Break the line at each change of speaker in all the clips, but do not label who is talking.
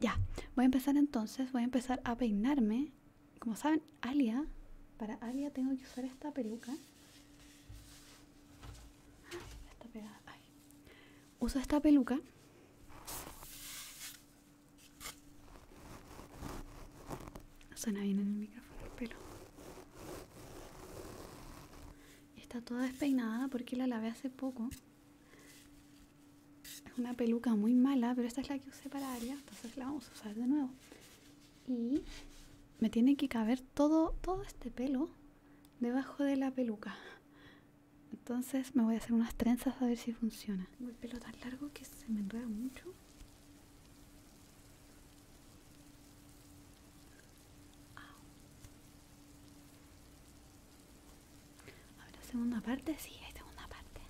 Ya, voy a empezar entonces, voy a empezar a peinarme. Como saben, Alia, para Alia tengo que usar esta peluca. Usa ah, Uso esta peluca. Suena bien en el micrófono el pelo. Está toda despeinada porque la lavé hace poco. Es una peluca muy mala, pero esta es la que usé para Aria, entonces la vamos a usar de nuevo. Y me tiene que caber todo, todo este pelo debajo de la peluca. Entonces me voy a hacer unas trenzas a ver si funciona. el pelo tan largo que se me enreda mucho. ¿Habrá segunda parte? Sí, hay segunda parte.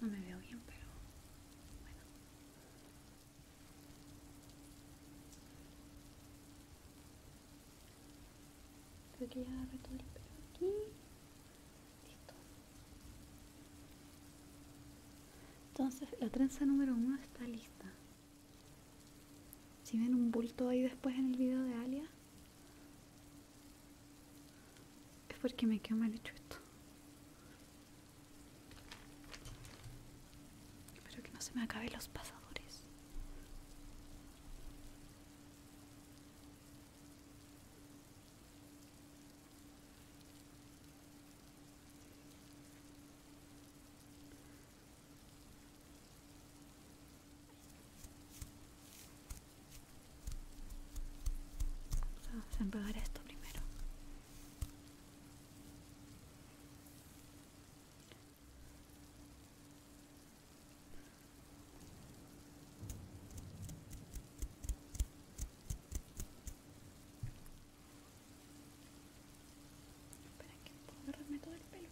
No me veo bien, pero bueno. Creo todo el pelo aquí. Listo. Entonces la trenza número uno está lista. Si ven un bulto ahí después en el video de Alia, es porque me quedó mal hecho esto. Pero que no se me acaben los pasadores. Vamos a empezar esto primero. Espera que puedo agarrarme todo el pelo.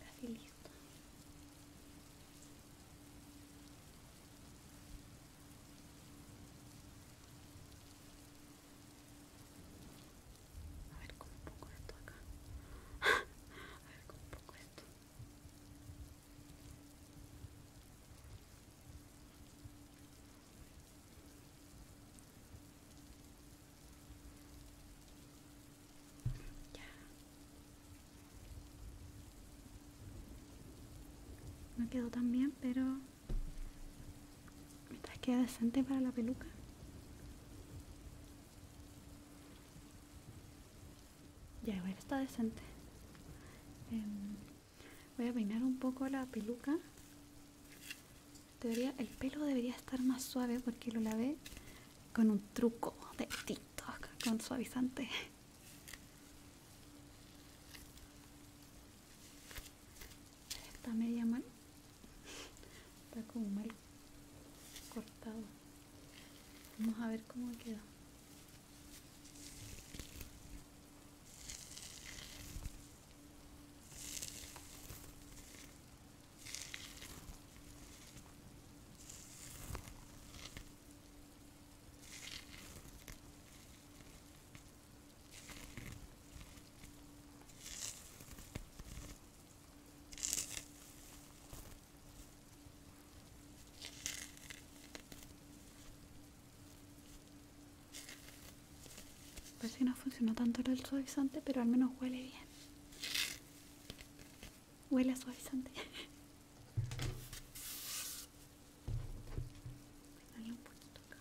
Casi listo. A ver, cómo pongo esto acá. a ver esto. Ya. No quedó tan bien, pero que queda decente para la peluca. Ya, bueno, está decente. Em, voy a peinar un poco la peluca. teoría el pelo debería estar más suave porque lo lavé con un truco de TikTok, con suavizante. Está media mal está como mal cortado vamos a ver cómo queda Parece que no funcionó tanto el suavizante, pero al menos huele bien. Huele a suavizante. un poquito acá.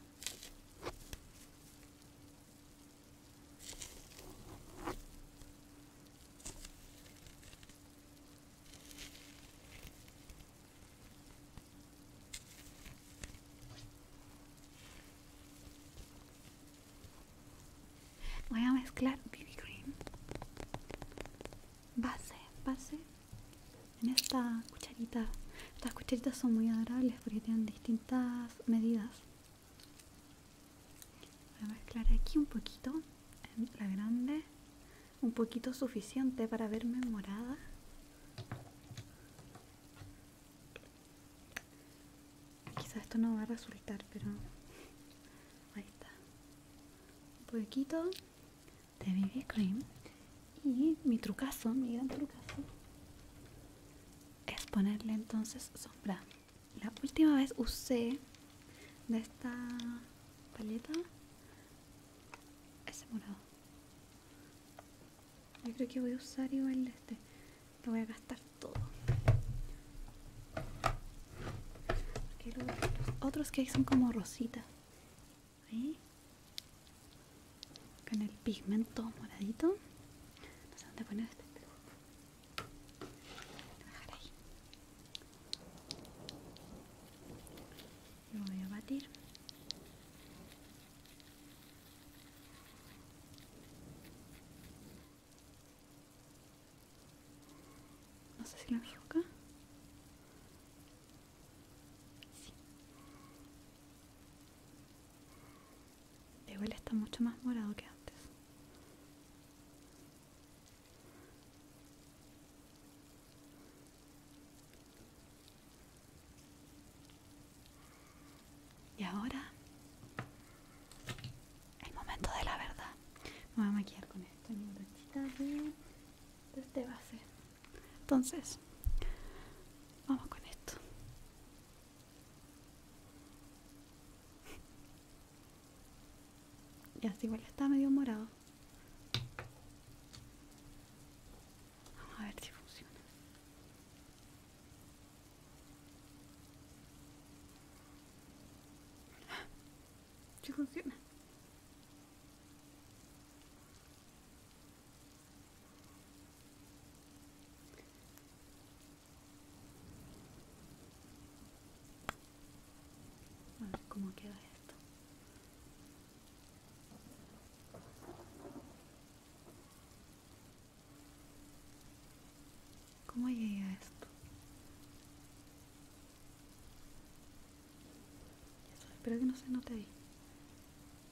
Voy a mezclar BB cream base, base en esta cucharita. Estas cucharitas son muy adorables porque tienen distintas medidas. Voy a mezclar aquí un poquito, en la grande, un poquito suficiente para verme morada. Quizás esto no va a resultar, pero ahí está. Un poquito de BB Cream. Y mi trucazo, mi gran trucazo, es ponerle entonces sombra la última vez usé de esta paleta ese morado yo creo que voy a usar igual este lo voy a gastar todo los, otros que hay son como rositas con el pigmento moradito dónde poner este Bajar ahí. Lo voy a batir. No sé si la enfoca. Sí igual está mucho más morado que antes. Y ahora, el momento de la verdad. Me voy a maquillar con esto, mi brochita de este base. Entonces, vamos con esto. Y así igual está medio morado. Vamos a ver si funciona. Si funciona. A ver cómo queda esto. ¿Cómo llega esto? espero que no se note ahí.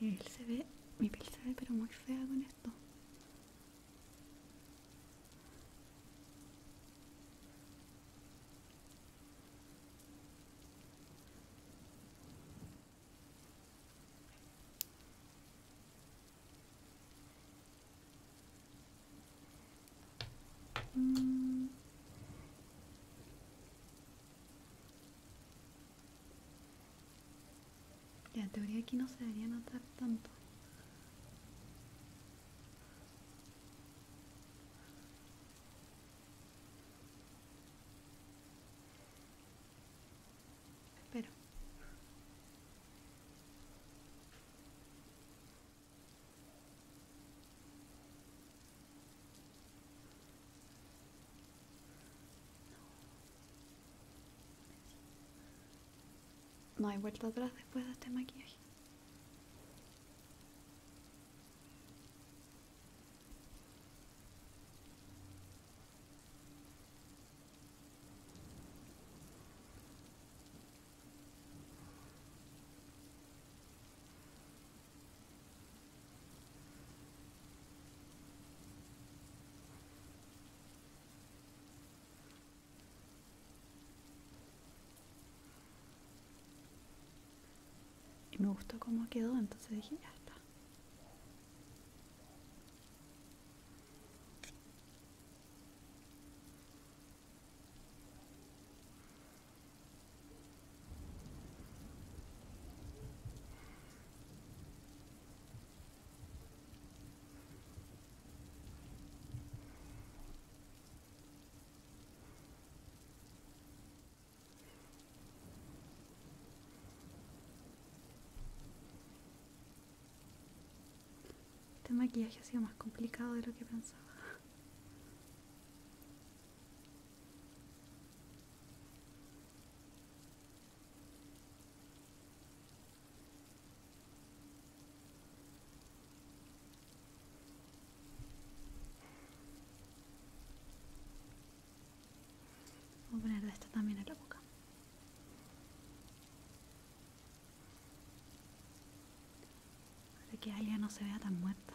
Él se ve, mi piel se ve pero muy fea con esto. Ya, en teoría aquí no se debería notar tanto. Pero... No hay vuelta atrás después de este maquillaje. Y me gustó cómo quedó, entonces dije, ya está. Este maquillaje ha sido más complicado de lo que pensaba. Voy a poner de también en la boca para que ella no se vea tan muerta.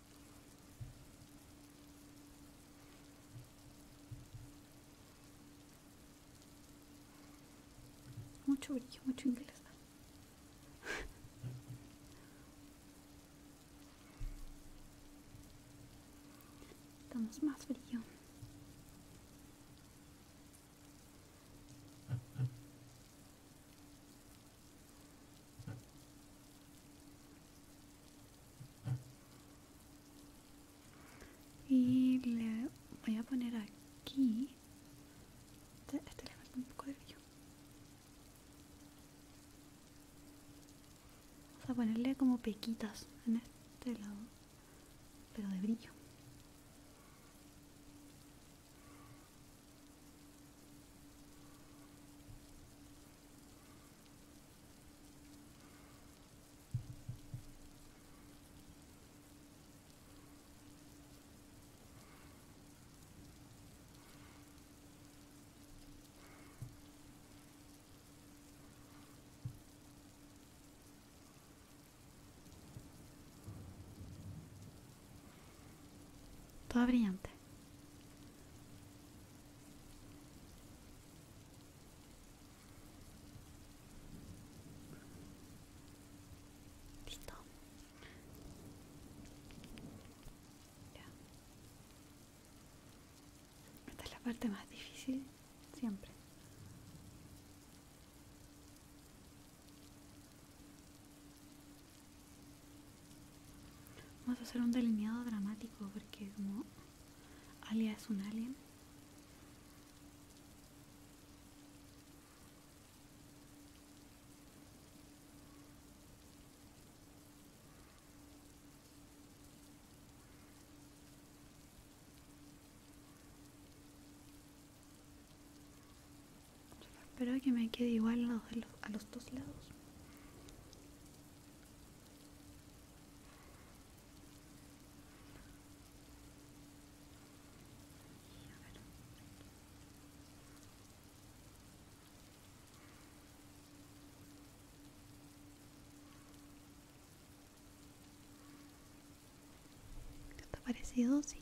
Mucho brillo, mucho inglés. estamos más brillo y le voy a poner aquí este, este, le falta un poco de brillo vamos a ponerle como pequitas en este lado pero de brillo todo brillante. Esta es la parte más difícil siempre. Vamos a hacer un delineado dramático porque como Alia es un alien. Espero que me quede igual a los, a los dos lados. ¿Te parecido? Sí.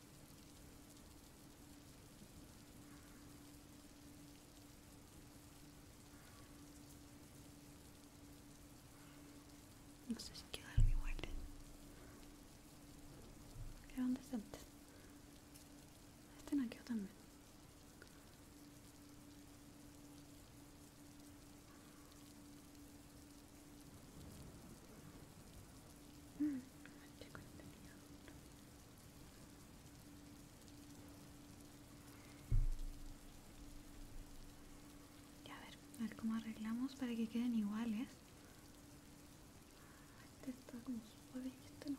No sé si quedarme igual. Quedan decentes. Este no quedó también a ver, a ver cómo arreglamos para que queden iguales. Este este no.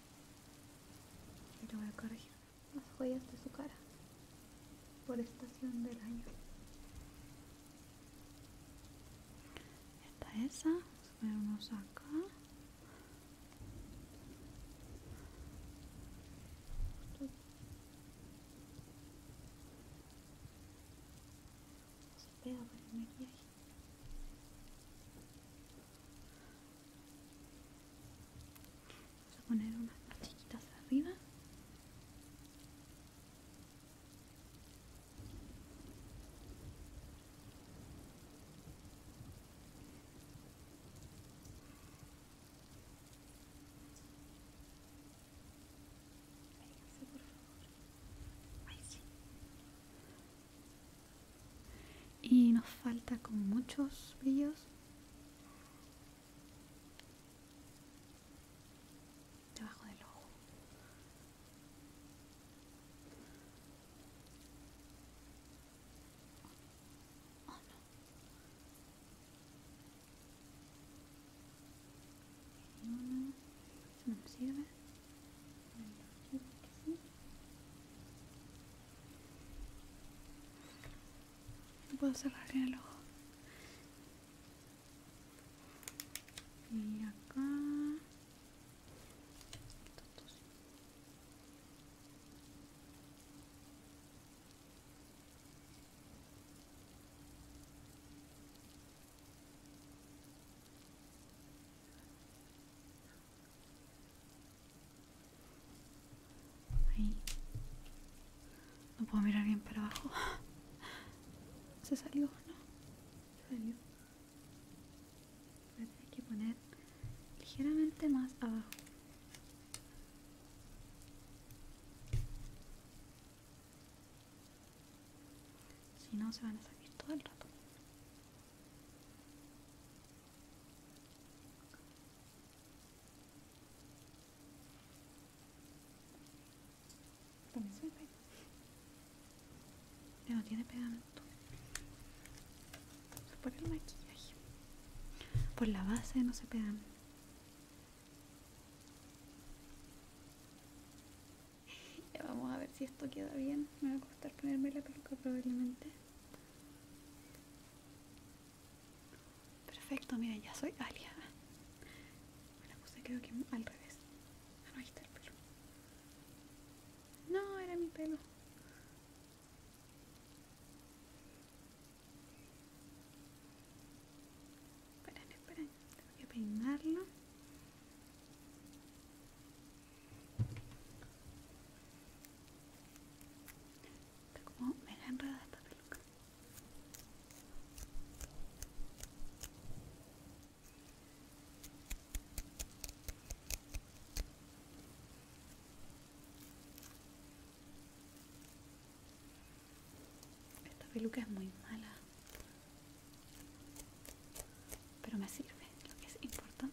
Y le voy a corregir las joyas de su cara por estación del año. Esta esa, ah, Vamos acá. pega que el maquillaje Vamos a poner unas arriba. por favor. sí y nos falta con muchos brillos debajo del ojo oh, no. No puedo cerrar el ojo. Y acá. Ahí. No puedo mirar bien para abajo. Se salió, ¿no? Se salió. Voy a que poner ligeramente más abajo. Si no, se van a salir todo el rato. También se me Ya Pero tiene pegamento. Se pone el maquillaje. Por la base no se pegan. Ya vamos a ver si esto queda bien. Me va a costar ponerme la peluca probablemente. Perfecto, mira ya soy aliada. Me la puse creo que al revés. Ah, no, el pelo. No, era mi pelo. Esperen, esperen. Tengo que peinarlo me como mega enredada esta peluca. Esta peluca es muy mala pero me sirve lo que es importante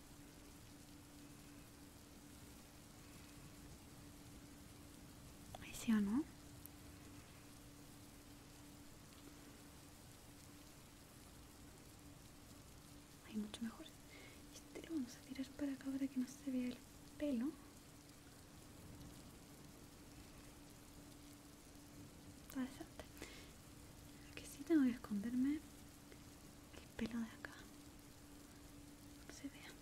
Ahí sí o no. Ahí mucho mejor. Este lo vamos a tirar para acá para que no se vea el pelo. Interesante. Lo que sí tengo que esconderme el pelo de acá se vea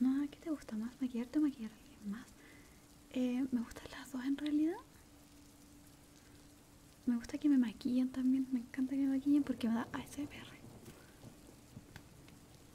no, que te gusta más? ¿maquillarte o maquillar a alguien más? Eh, me gustan las dos en realidad me gusta que me maquillen también, me encanta que me maquillen porque me da ASMR